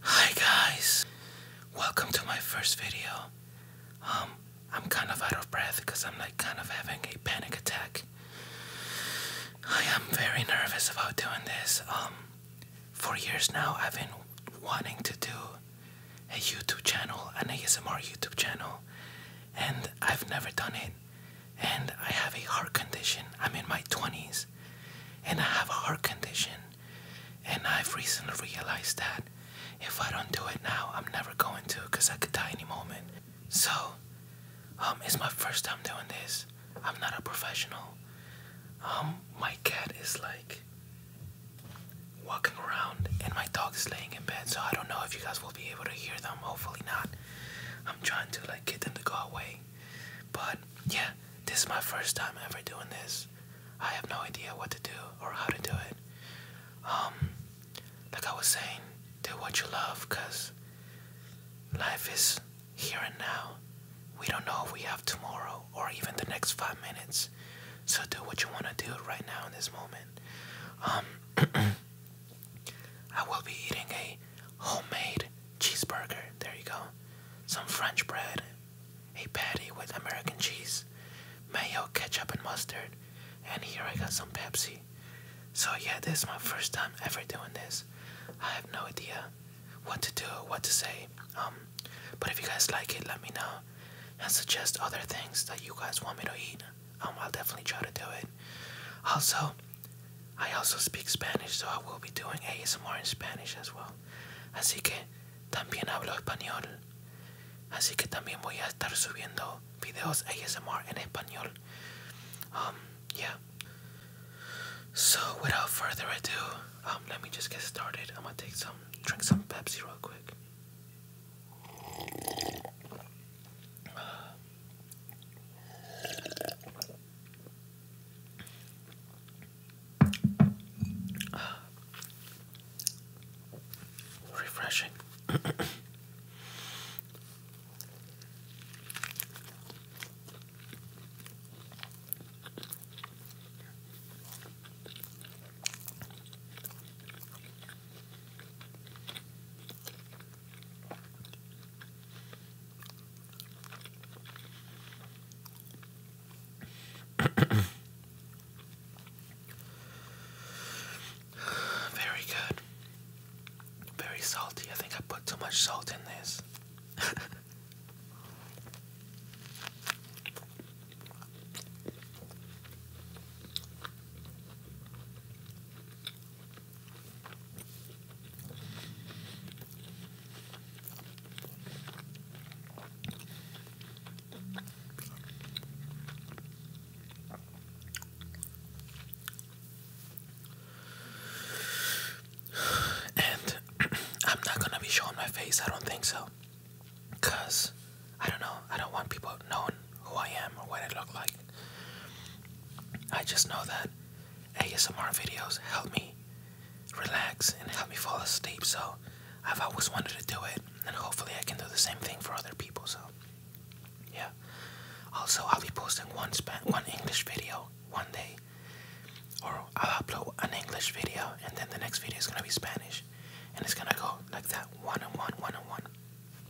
Hi guys, welcome to my first video. Um, I'm kind of out of breath because I'm like kind of having a panic attack. I am very nervous about doing this. Um, for years now, I've been wanting to do a YouTube channel, an ASMR YouTube channel, and I've never done it. And I have a heart condition. I'm in my 20s, and I have a heart condition. And I've recently realized that if I don't do it now, I'm never going to because I could die any moment. So, um, it's my first time doing this. I'm not a professional. Um, my cat is like walking around, and my dog is laying in bed. So I don't know if you guys will be able to hear them. Hopefully not. I'm trying to like get them to go away, but yeah, this is my first time ever doing this. I have no idea what to do or how to do it. Um, like I was saying, do what you love because life is here and now. We don't know if we have tomorrow or even the next five minutes. So do what you want to do right now in this moment. Um, I will be eating a homemade cheeseburger. There you go. Some French bread, a patty with American cheese, mayo, ketchup, and mustard. And here I got some Pepsi. So, yeah, this is my first time ever doing this. I have no idea what to do, what to say. Um, but if you guys like it, let me know and suggest other things that you guys want me to eat. Um, I'll definitely try to do it. Also, I also speak Spanish, so I will be doing ASMR in Spanish as well. Así que también hablo español. Así que también voy a estar subiendo videos ASMR en español. Um, yeah. So without further ado, um, let me just get started. I'm gonna take some, drink some Pepsi real quick. Uh, Refreshing. Very good. Very salty. I think I put too much salt in this. And I'm not gonna be showing my face, I don't think so. Cause I don't know. I don't want people knowing who I am or what I look like. I just know that ASMR videos help me relax and help me fall asleep. So I've always wanted to do it, and hopefully I can do the same thing for other people. So yeah. Also, I'll be posting one span, one English video one day, or I'll upload an English video, and then the next video is gonna be Spanish, and it's gonna go like that, one and one, one and one.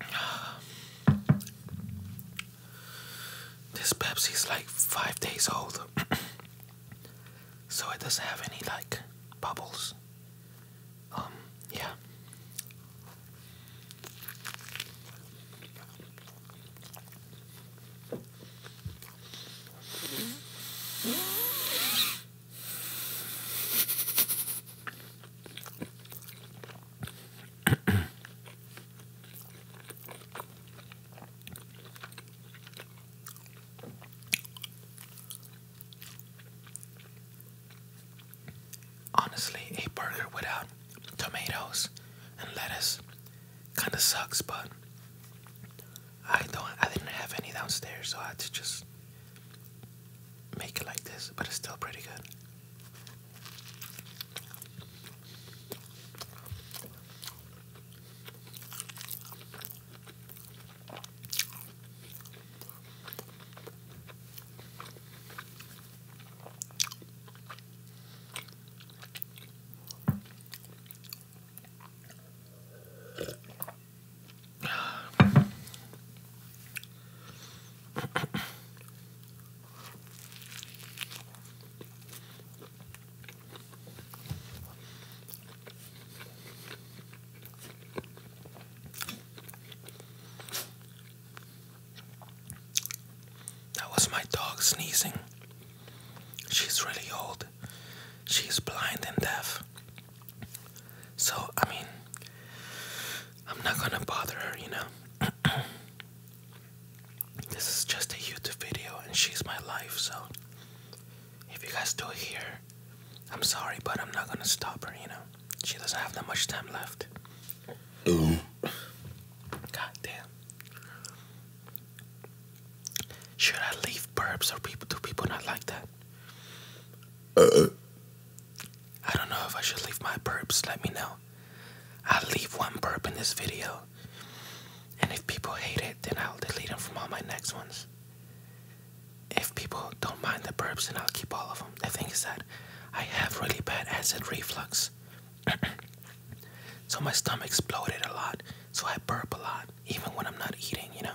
This Pepsi is like five days old, so it doesn't have any like bubbles. Um, yeah. Honestly, a burger without tomatoes and lettuce kind of sucks, but I don't I didn't have any downstairs, so I had to just make it like this, but it's still pretty good. That was my dog sneezing. She's really old. She's blind and deaf. So, I mean, I'm not gonna bother her, you know. this is just a YouTube video and she's my life, so if you guys do hear, I'm sorry, but I'm not gonna stop her, you know. She doesn't have that much time left. Ooh. God Should I leave burps or people do people not like that? Uh, I don't know if I should leave my burps. Let me know. I'll leave one burp in this video. And if people hate it, then I'll delete them from all my next ones. If people don't mind the burps, then I'll keep all of them. The thing is that I have really bad acid reflux. so my stomach exploded a lot. So I burp a lot, even when I'm not eating, you know?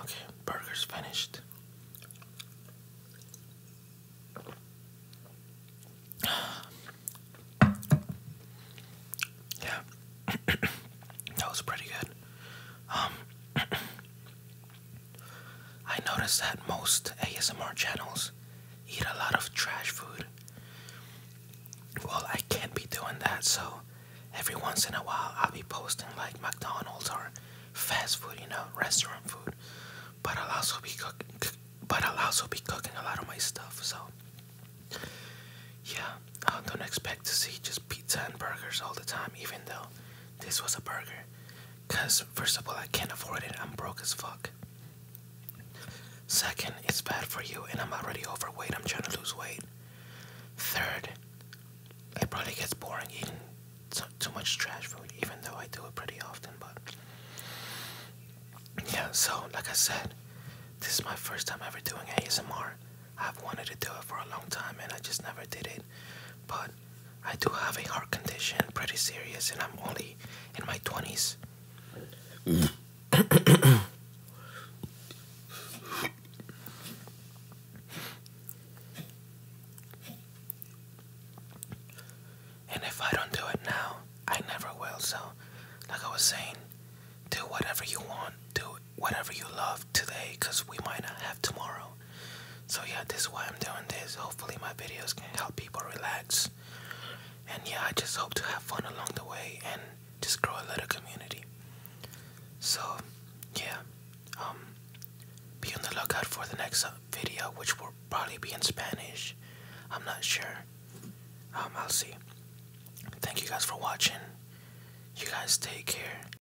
Okay, burger's finished. Yeah, that was pretty good. Um, I noticed that most ASMR channels eat a lot of trash food. Well, I can't be doing that, so every once in a while I'll be posting like McDonald's or fast food, you know, restaurant food. But I'll also be cooking, but I'll also be cooking a lot of my stuff. So yeah, I don't expect to see just pizza and burgers all the time. Even though this was a burger, because, first of all, I can't afford it. I'm broke as fuck. Second, it's bad for you, and I'm already overweight. I'm trying to lose weight. Third, it probably gets boring eating too much trash food, even though I do it pretty often. But yeah, so like I said, this is my first time ever doing ASMR. I've wanted to do it for a long time, and I just never did it. But I do have a heart condition, pretty serious, and I'm only in my 20s. and if I don't do it now, I never will. So, like I was saying, do whatever you want, do whatever you love, today because we might not have tomorrow. So, yeah, this is why I'm doing this. Hopefully, my videos can help people relax. And yeah, I just hope to have fun along the way and just grow a little community. So, yeah, um, be on the lookout for the next uh, video, which will probably be in Spanish. I'm not sure. Um, I'll see. Thank you guys for watching. You guys take care.